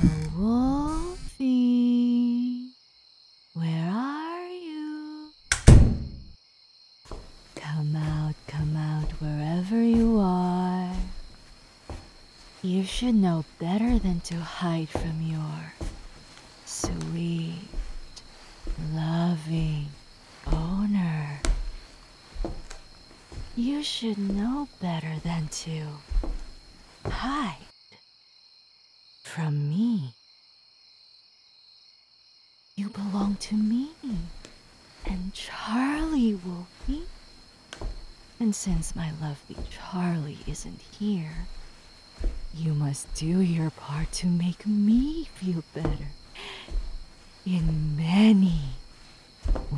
Oh, Wolfie, where are you? Come out, come out, wherever you are. You should know better than to hide from your sweet, loving Owner. You should know better than to hide from me. You belong to me, and Charlie will be. And since my lovely Charlie isn't here, you must do your part to make me feel better in many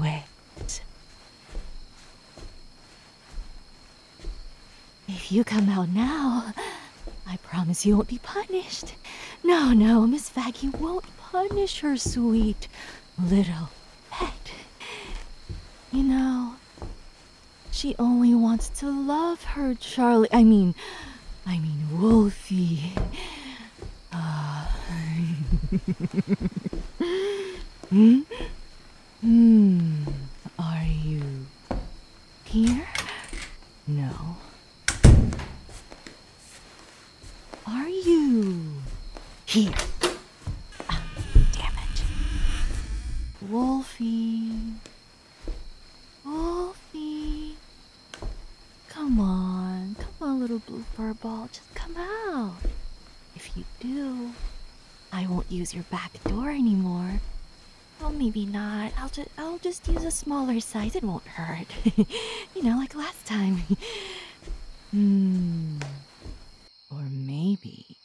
ways. If you come out now, I promise you won't be punished. No, no, Miss Faggy won't punish her sweet little pet. You know, she only wants to love her Charlie. I mean, I mean, Wolfie. Uh, hmm? Hmm. Are you here? No. Are you here? Ah, damn it. Wolfie. Wolfie. Come on. Come on, little blue fur ball. Just come out. If you do, I won't use your back door anymore. Oh, maybe not. I'll just I'll just use a smaller size. It won't hurt. you know, like last time. hmm. Or maybe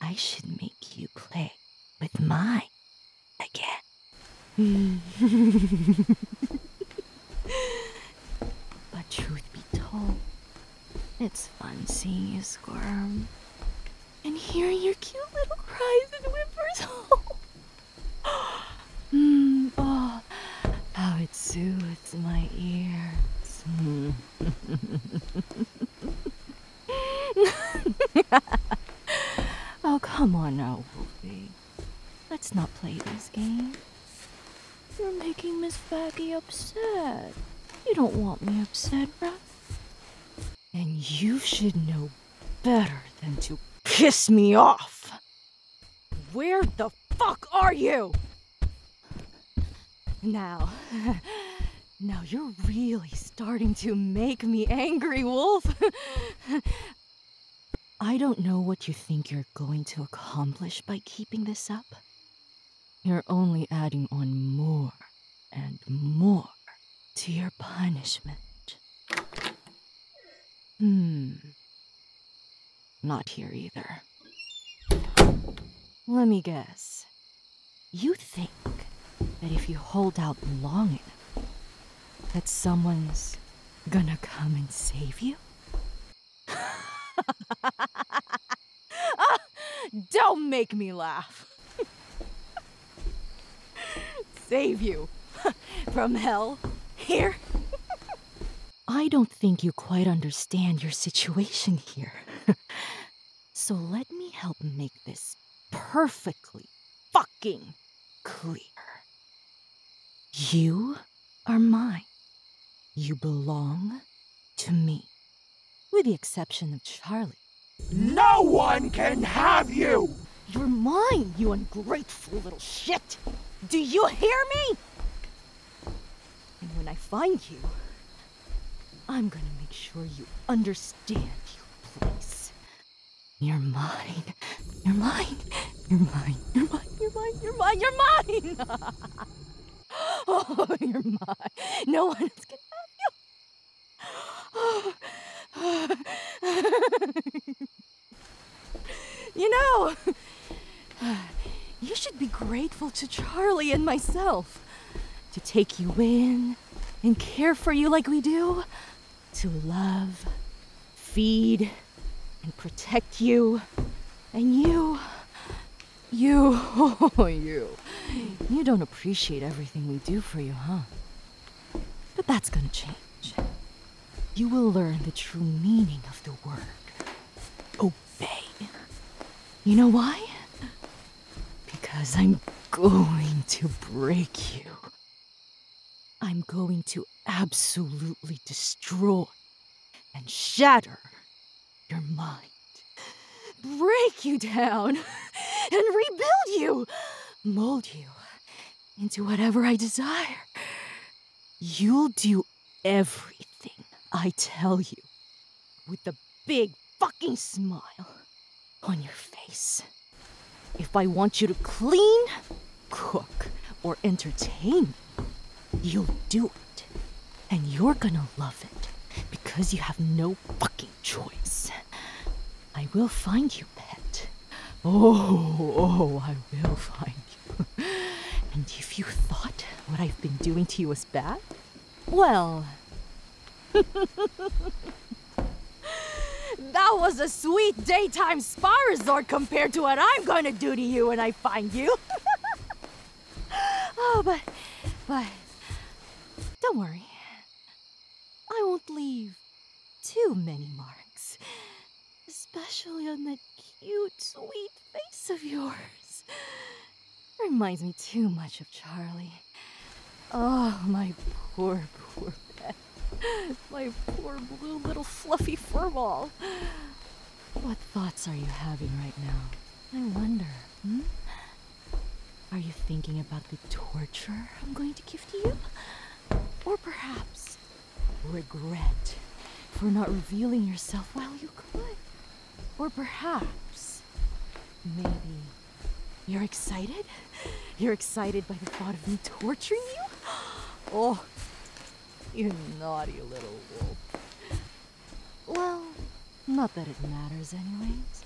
I should make you play with my again. but truth be told, it's fun seeing you squirm and hearing your cute little cries and whimpers. Hmm, oh, how it soothes my ears. oh, come on now, Wolfie. Let's not play this game. You're making Miss Faggy upset. You don't want me upset, right? And you should know better than to piss me off. Where the fuck are you? Now, now you're really starting to make me angry, Wolf. I don't know what you think you're going to accomplish by keeping this up. You're only adding on more and more to your punishment. Hmm. Not here either. Let me guess. You think that if you hold out long enough, that someone's gonna come and save you? Don't make me laugh. save you from hell here? I don't think you quite understand your situation here. so let me help make this perfectly fucking clear. You are mine. You belong to me. With the exception of Charlie. No one can have you! You're mine, you ungrateful little shit! Do you hear me? And when I find you, I'm gonna make sure you understand your place. You're mine. You're mine. You're mine. You're mine. You're mine. You're mine. You're mine. oh, you're mine. No one gonna you know, you should be grateful to Charlie and myself to take you in and care for you like we do to love, feed, and protect you. And you, you, you, you don't appreciate everything we do for you, huh? But that's gonna change. You will learn the true meaning of the word. Obey. You know why? Because I'm going to break you. I'm going to absolutely destroy and shatter your mind, break you down, and rebuild you, mold you into whatever I desire. You'll do everything I tell you with a big fucking smile on your face. If I want you to clean, cook, or entertain, you'll do it. And you're gonna love it because you have no fucking choice. I will find you, pet. Oh, oh, I will find you. and if you thought what I've been doing to you was bad, well. That was a sweet daytime spa resort compared to what I'm going to do to you when I find you. oh, but, but, don't worry. I won't leave too many marks, especially on that cute, sweet face of yours. Reminds me too much of Charlie. Oh, my poor, poor Beth. My poor blue little fluffy furball. What thoughts are you having right now? I wonder, hmm? Are you thinking about the torture I'm going to give to you? Or perhaps regret for not revealing yourself while you could? Or perhaps maybe you're excited? You're excited by the thought of me torturing you? Oh, you naughty little wolf. Well, not that it matters anyways.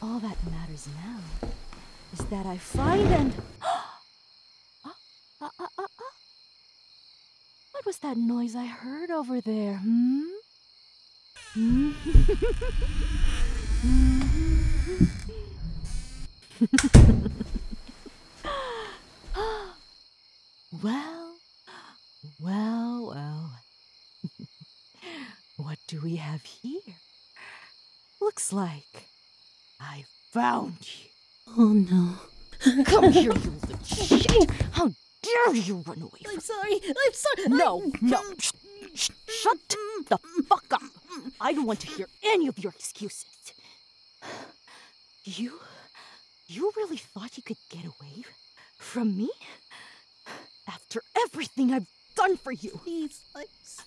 All that matters now is that I find and... Uh, uh, uh, uh, uh, what was that noise I heard over there, Hmm? hmm? hmm? well, well, well. what do we have here? Looks like I found you. Oh no. Come here, you little shit! How dare you run away? I'm sorry. I'm sorry. No, no. Sh the fuck up. I don't want to hear any of your excuses. You. You really thought you could get away from me? After everything I've done for you. Please, i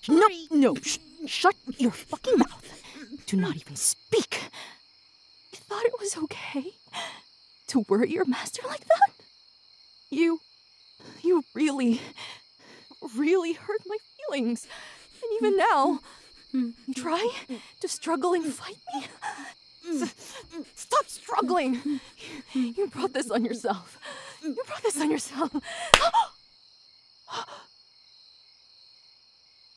No, no, shut your fucking mouth. Do not even speak. You thought it was okay to worry your master like that? You you really, really hurt my feelings. And even now, you try to struggle and fight me? Stop struggling! You brought this on yourself. You brought this on yourself.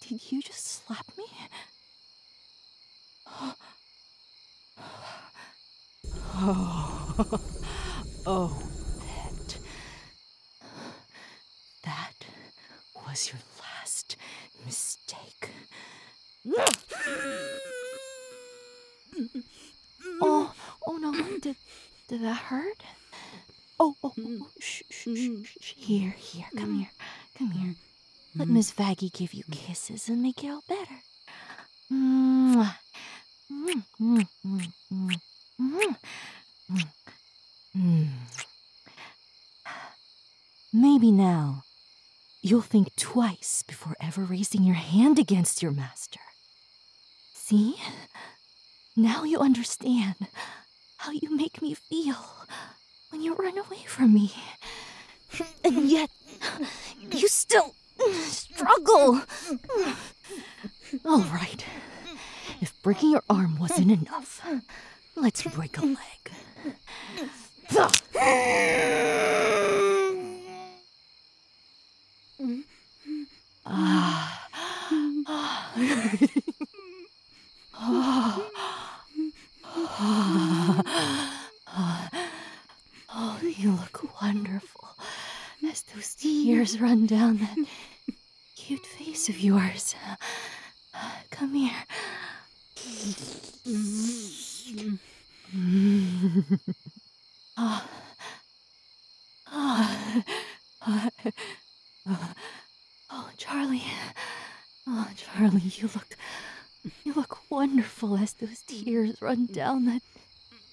Did you just slap me? Oh, oh, pet. That was your last mistake. Oh, oh no, did, did that hurt? Oh, oh, shh, shh, shh, Here, here, come mm-hmm. here, come here. Let mm-hmm. Miss Vaggy give you mm-hmm. kisses and make it all better. Mwah. Mm. Mm. Mm. Maybe now you'll think twice before ever raising your hand against your master. See? Now you understand how you make me feel when you run away from me. And yet, you still Struggle! All right. If breaking your arm wasn't enough, let's break a leg. Ah. Oh, you look wonderful those tears run down that cute face of yours. Come here. oh. oh, Charlie. Oh, Charlie, you look you look wonderful as those tears run down that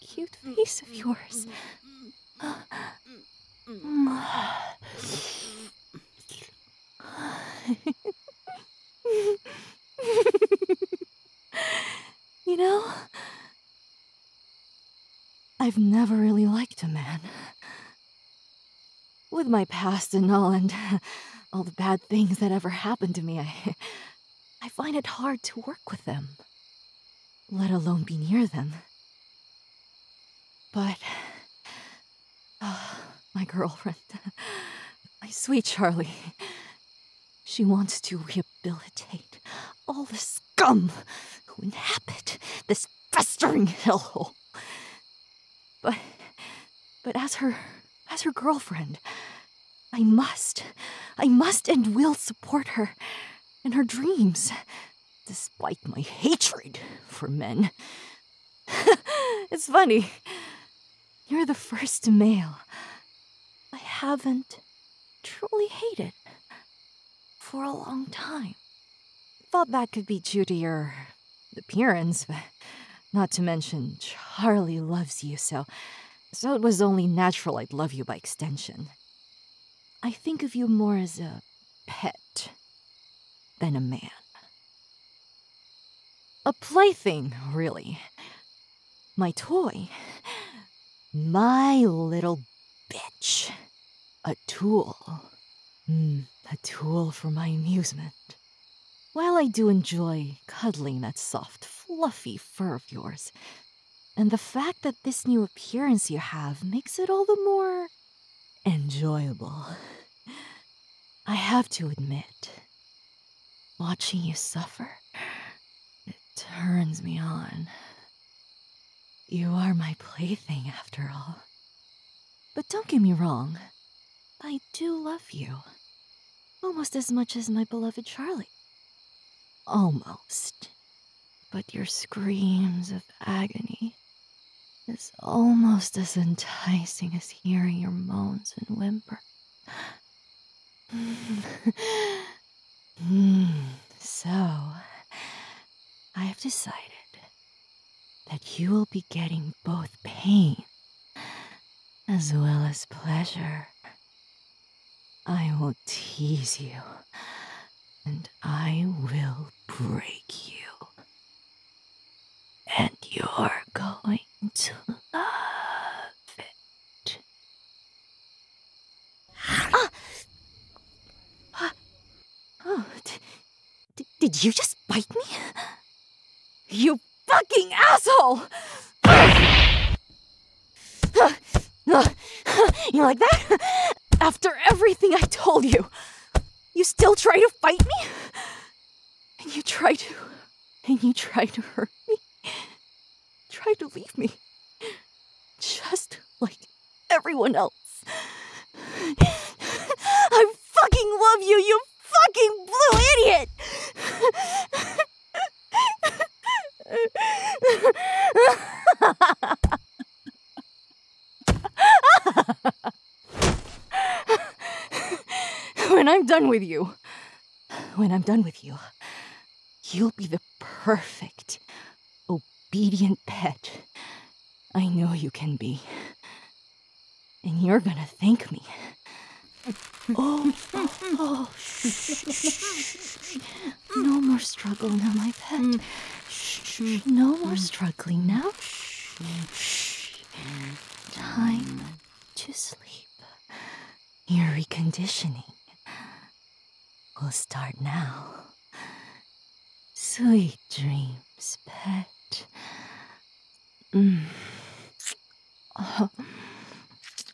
cute face of yours. you know, I've never really liked a man. With my past and all, and all the bad things that ever happened to me, I, I find it hard to work with them let alone be near them. But. Ah, my girlfriend. My sweet Charlie. She wants to rehabilitate all the scum who inhabit this festering hellhole. But. But as her. as her girlfriend, I must. I must and will support her. In her dreams, despite my hatred for men. it's funny. You're the first male I haven't truly hated for a long time. Thought that could be due to your appearance, but not to mention Charlie loves you, so so it was only natural I'd love you by extension. I think of you more as a pet than a man. A plaything, really. My toy. My little bitch. A tool. Hmm, a tool for my amusement. While I do enjoy cuddling that soft, fluffy fur of yours, and the fact that this new appearance you have makes it all the more enjoyable. I have to admit, watching you suffer, it turns me on. You are my plaything after all. But don't get me wrong, I do love you. Almost as much as my beloved Charlie. Almost. But your screams of agony is almost as enticing as hearing your moans and whimper. so, I have decided that you will be getting both pain as well as pleasure I will tease you, and I will break you. And you're going to love it. Ah! ah. Oh, did you just bite me? You fucking asshole! You like that? After everything I told you, you still try to fight me? And you try to. And you try to hurt me? Try to leave me. Just like everyone else. I fucking love you, you fucking blue idiot! when I'm done with you, when I'm done with you, you'll be the perfect, obedient pet I know you can be. And you're gonna thank me. Oh, oh, shh, shh, no more struggle now, my pet. Mm. Mm. no more mm. struggling now. Shh, Time to sleep. Your reconditioning will start now. Sweet dreams, pet. Mm. Oh.